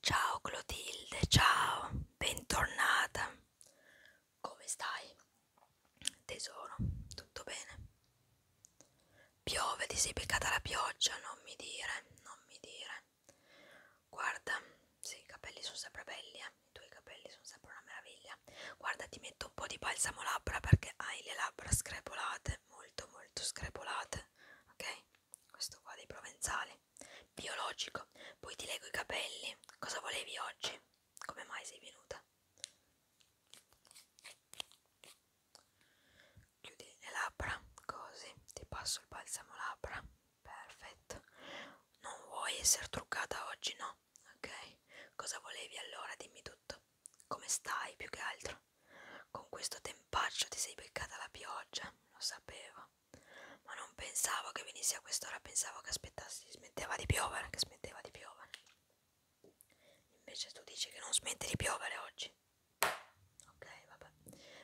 Ciao Clotilde, ciao, bentornata. Come stai? Tesoro, tutto bene? Piove, ti sei beccata la pioggia, non mi dire, non mi dire. Guarda, sì, i capelli sono sempre belli, eh? i tuoi capelli sono sempre una meraviglia. Guarda, ti metto un po' di balsamo labbra perché hai le labbra screpolate, molto molto screpolate, ok? Questo qua dei provenzali. Biologico. Poi ti leggo i capelli. Cosa volevi oggi? Come mai sei venuta? Chiudi le labbra, così. Ti passo il balsamo labbra. Perfetto. Non vuoi essere truccata oggi, no? Ok. Cosa volevi allora? Dimmi tutto. Come stai più che altro? Con questo tempaccio ti sei beccata la pioggia, lo sapevo ma non pensavo che venisse a quest'ora, pensavo che aspettassi, smetteva di piovere, che smetteva di piovere. Invece tu dici che non smette di piovere oggi. Ok, vabbè.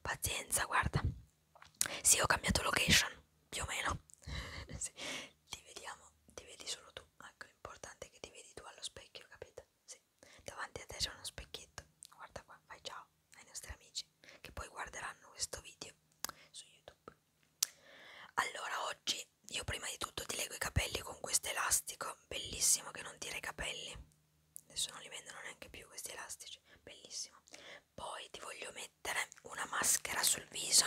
Pazienza, guarda. Sì, ho cambiato location, più o meno. sì. Ti vediamo, ti vedi solo tu. Ecco, l'importante è che ti vedi tu allo specchio, capito? Sì. Davanti a te c'è uno specchietto. Guarda qua, vai ciao ai nostri amici che poi guarderanno questo video su YouTube. Allora, oggi io prima di tutto ti leggo i capelli con questo elastico bellissimo che non tira i capelli. Adesso non li vendono neanche più questi elastici, bellissimo. Poi ti voglio mettere una maschera sul viso.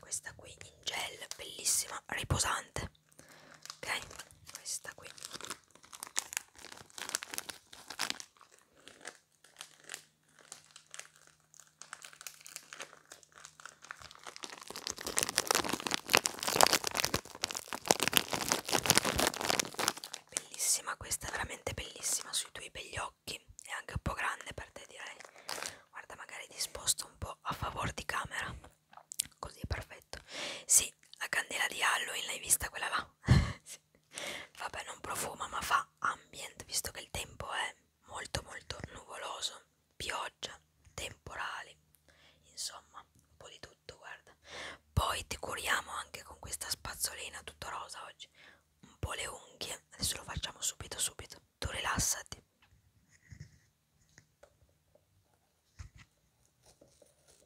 Questa qui in gel, bellissima, riposante. Ok? Questa qui Bellissima questa, è veramente bellissima sui tuoi begli occhi. È anche un po' grande per te, direi. Guarda, magari ti sposto un po' a favore di camera. Così è perfetto. Sì, la candela di Halloween l'hai vista quella là? Vabbè, non profuma, ma fa ambient, visto che il tempo è molto molto nuvoloso, pioggia, temporali, insomma, un po' di tutto, guarda. Poi ti curiamo anche con questa spazzolina tutto rosa oggi, un po' le unghie, adesso lo facciamo subito subito. Tu rilassati.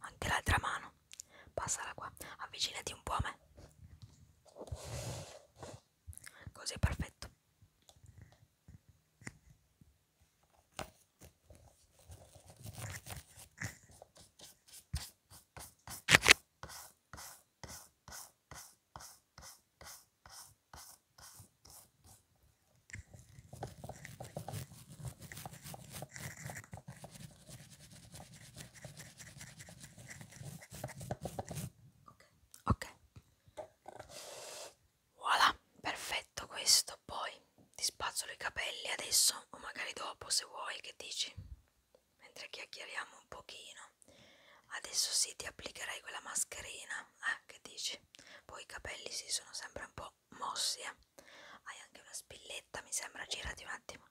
Anche l'altra mano. Passala qua. Avvicinati un po' a me. Così è perfetto. Ok, voilà, perfetto questo. Poi ti spazzolo i capelli adesso o magari dopo se vuoi, che dici? Mentre chiacchieriamo un pochino. Adesso sì, ti applicherai quella mascherina, eh, che dici? Poi i capelli si sì, sono sempre un po' mossi, eh. Hai anche una spilletta, mi sembra, girati un attimo.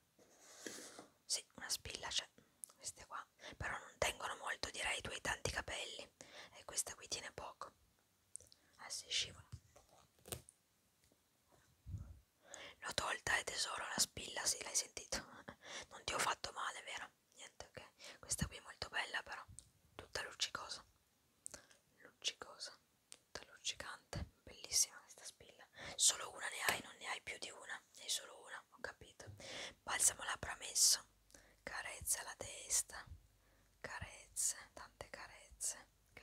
Sì, una spilla c'è, queste qua, però non tengono molto direi i tuoi tanti capelli e questa qui tiene poco. Ah si scivola. L'ho tolta e tesoro la spilla, sì l'hai sentito. Non ti ho fatto male, vero? Niente, ok. Questa qui è molto bella però, tutta luccicosa. Luccicosa tutta luccicante bellissima questa spilla solo una ne hai non ne hai più di una ne hai solo una ho capito balsamo labbra messo carezza la testa carezze tante carezze ok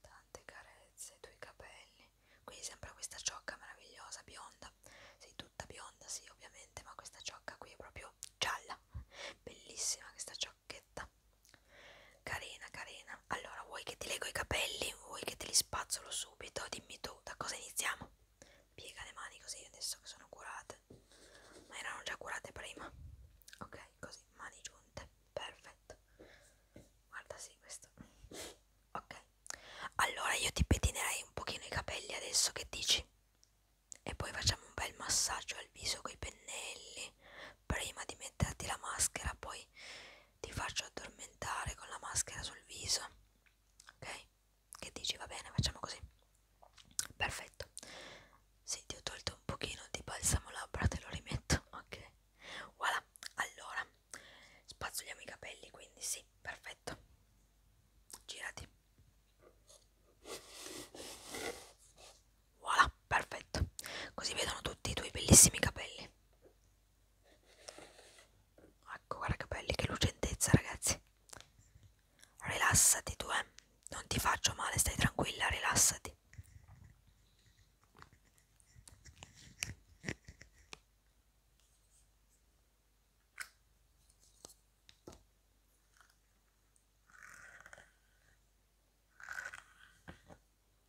tante carezze i tuoi capelli qui sembra questa ciocca meravigliosa bionda sei tutta bionda sì ovviamente ma questa ciocca qui è proprio gialla bellissima questa ciocchetta Carina, carina. Allora, vuoi che ti leggo i capelli? Vuoi che te li spazzolo subito? Dimmi tu, da cosa iniziamo? Piega le mani così adesso che sono curate. Ma erano già curate prima. Ok, così, mani giunte. Perfetto. Guarda, sì, questo. Ok. Allora, io ti pettinerei un pochino i capelli adesso, che dici? E poi facciamo un bel massaggio al viso con i pennelli prima di metterti la maschera, poi ti faccio addormentare con la maschera sul viso. Ok? Che dici? Va bene, facciamo così. Perfetto. Sì, ti ho tolto un pochino di balsamo labbra, te lo rimetto. Ok. Voilà. Allora, spazzoliamo i capelli, quindi sì, perfetto. Girati. Voilà, perfetto. Così vedono tutti i tuoi bellissimi capelli. Ecco, guarda che belli, che lucentezza, ragazzi. Rilassati tu, eh. Non ti faccio male, stai tranquilla, rilassati.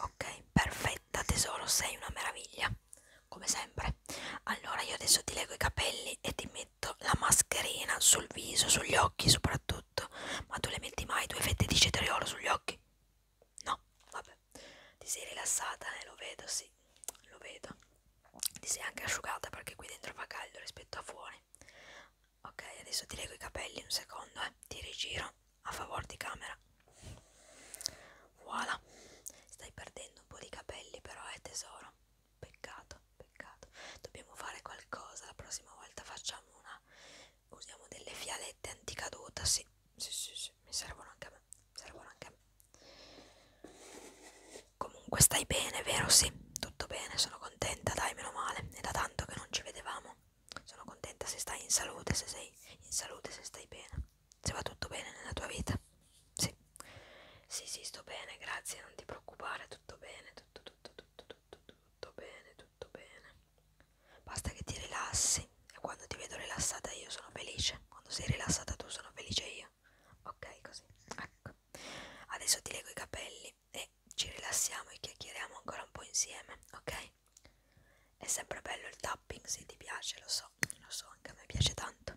Ok, perfetta tesoro, sei una meraviglia, come sempre. Allora io adesso ti leggo i capelli e ti, me letto, la mascherina sul viso, sugli occhi soprattutto. Ma tu le metti mai due fette di cetriolo sugli occhi? No, vabbè. Ti sei rilassata, eh? Lo vedo, sì, lo vedo. Ti sei anche asciugata perché qui dentro fa caldo rispetto a fuori. Ok, adesso ti leggo i capelli un secondo, eh. Ti rigiro a favore di camera. Voilà. Stai perdendo un po' di capelli però, eh tesoro. Peccato, peccato. Dobbiamo fare qualcosa. La prossima volta facciamo una. Usiamo delle fialette anticaduta. Sì, sì, sì, sì. Mi servono anche a me. Servono anche a me. Comunque stai bene, vero? Sì, tutto bene. Sono contenta, dai, meno male. È da tanto che non ci vedevamo. Sono contenta se stai in salute, se sei in salute, se stai bene. Se va tutto bene nella tua vita. Sì. Sì, sì, sto bene, grazie, non ti preoccupare, tutto bene, tutto, tutto, tutto, tutto, tutto bene, tutto bene. Basta che ti rilassi e quando ti vedo rilassata io sono felice, quando sei rilassata tu sono felice io. Ok, così, ecco. Adesso ti leggo i capelli e ci rilassiamo e chiacchieriamo ancora un po' insieme, ok? È sempre bello il tapping, se ti piace, lo so, lo so, anche a me piace tanto.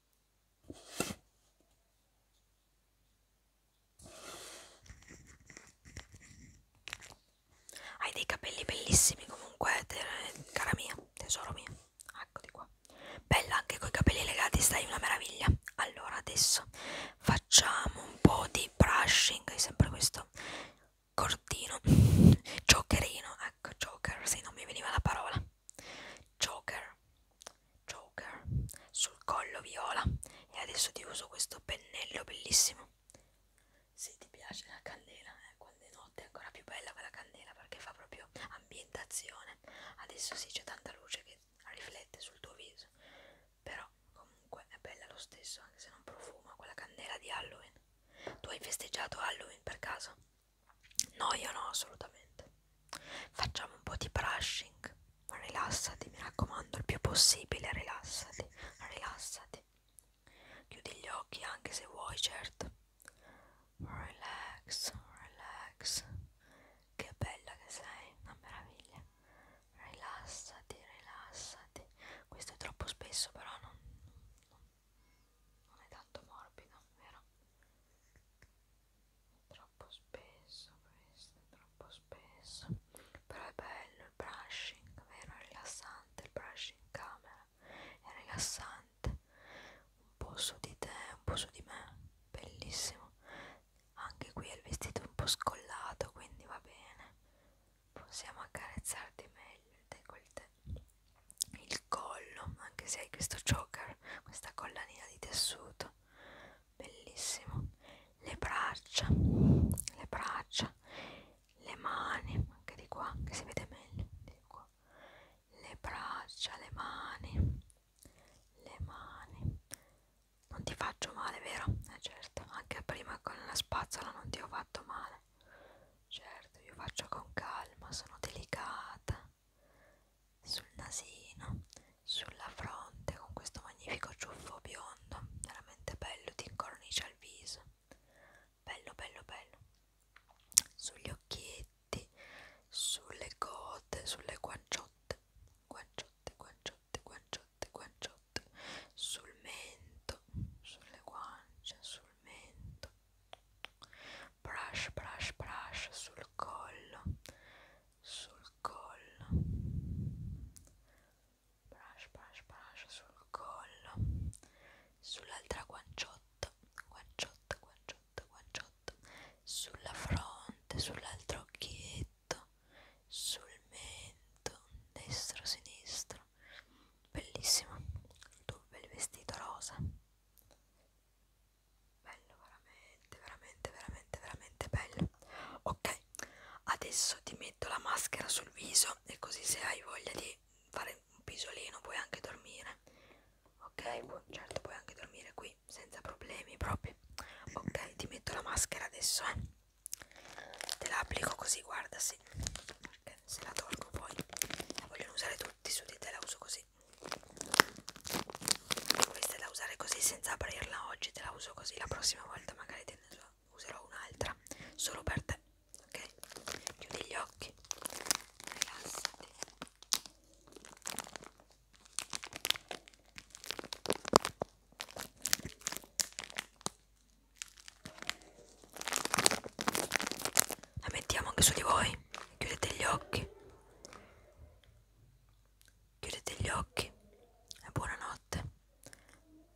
Hai dei capelli bellissimi comunque, te, cara mia, tesoro mio. Eccoli qua. Bella anche coi capelli legati, stai una meraviglia. Allora adesso facciamo un po' di brushing, sempre questo cortino, giocherino, ecco, joker, se non mi veniva la parola. Joker, Joker sul collo viola e adesso ti uso questo pennello bellissimo. Se ti piace la candela, eh, quando è notte è ancora più bella quella candela perché fa proprio ambientazione. Adesso sì c'è tanta luce che riflette sul tuo viso, però comunque è bella lo stesso anche se non profuma quella candela di Halloween. Tu hai festeggiato Halloween per caso? No, io no, assolutamente. Facciamo un po' di brushing. Rilassati, mi raccomando, il più possibile, rilassati, rilassati. Chiudi gli occhi anche se vuoi, certo. Relax, relax. Che bella che sei, una meraviglia. Rilassati, rilassati. Questo è troppo spesso, però non, non è tanto morbido, vero? troppo spesso questo, troppo spesso però è bello il brushing, vero? È rilassante il brushing in camera è rilassante un po' su di te, un po' su di me bellissimo anche qui il vestito è un po' scollato quindi va bene possiamo accarezzarti meglio il decolte il il collo anche se hai questo choker questa collanina di tessuto bellissimo le braccia le braccia le mani anche di qua che si vede meglio di qua. le braccia le mani le mani non ti faccio male vero? Eh certo anche prima con la spazzola non ti ho fatto male certo io faccio con calma sono delicata sul nasino, sulla fronte con questo magnifico ciuffo biondo, veramente bello, ti incornicia il viso, bello bello bello, sugli occhietti, sulle gote, sulle guanciotte, guanciotte, guanciotte, guanciotte, guanciotte, sul mento, sulle guance, sul mento, brush brush brush sul collo sul collo brush brush brush sul collo sull'altra guanciotta guanciotta guanciotta guanciotta sulla fronte sull'altro occhietto sul mento destro sinistro bellissimo il tuo bel vestito rosa bello veramente veramente veramente veramente bello ok adesso ti metto la maschera sul viso e così se hai voglia di fare un pisolino puoi anche dormire ok certo puoi anche dormire qui senza problemi proprio ok ti metto la maschera adesso eh. te la applico così guarda sì okay, se la tolgo poi la vogliono usare tutti su di te la uso così così questa è da usare così senza aprirla oggi te la uso così la prossima volta magari te ne userò un'altra solo per te ok chiudi gli occhi rilassati la mettiamo anche su di voi chiudete gli occhi Chiudete gli occhi e buonanotte.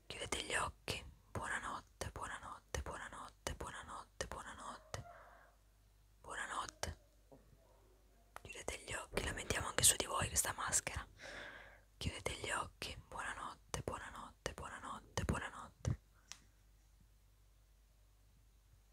Chiudete gli occhi, buonanotte, buonanotte, buonanotte, buonanotte, buonanotte. Buonanotte. Chiudete gli occhi, la mettiamo anche su di voi questa maschera. Chiudete gli occhi, buonanotte, buonanotte, buonanotte, buonanotte.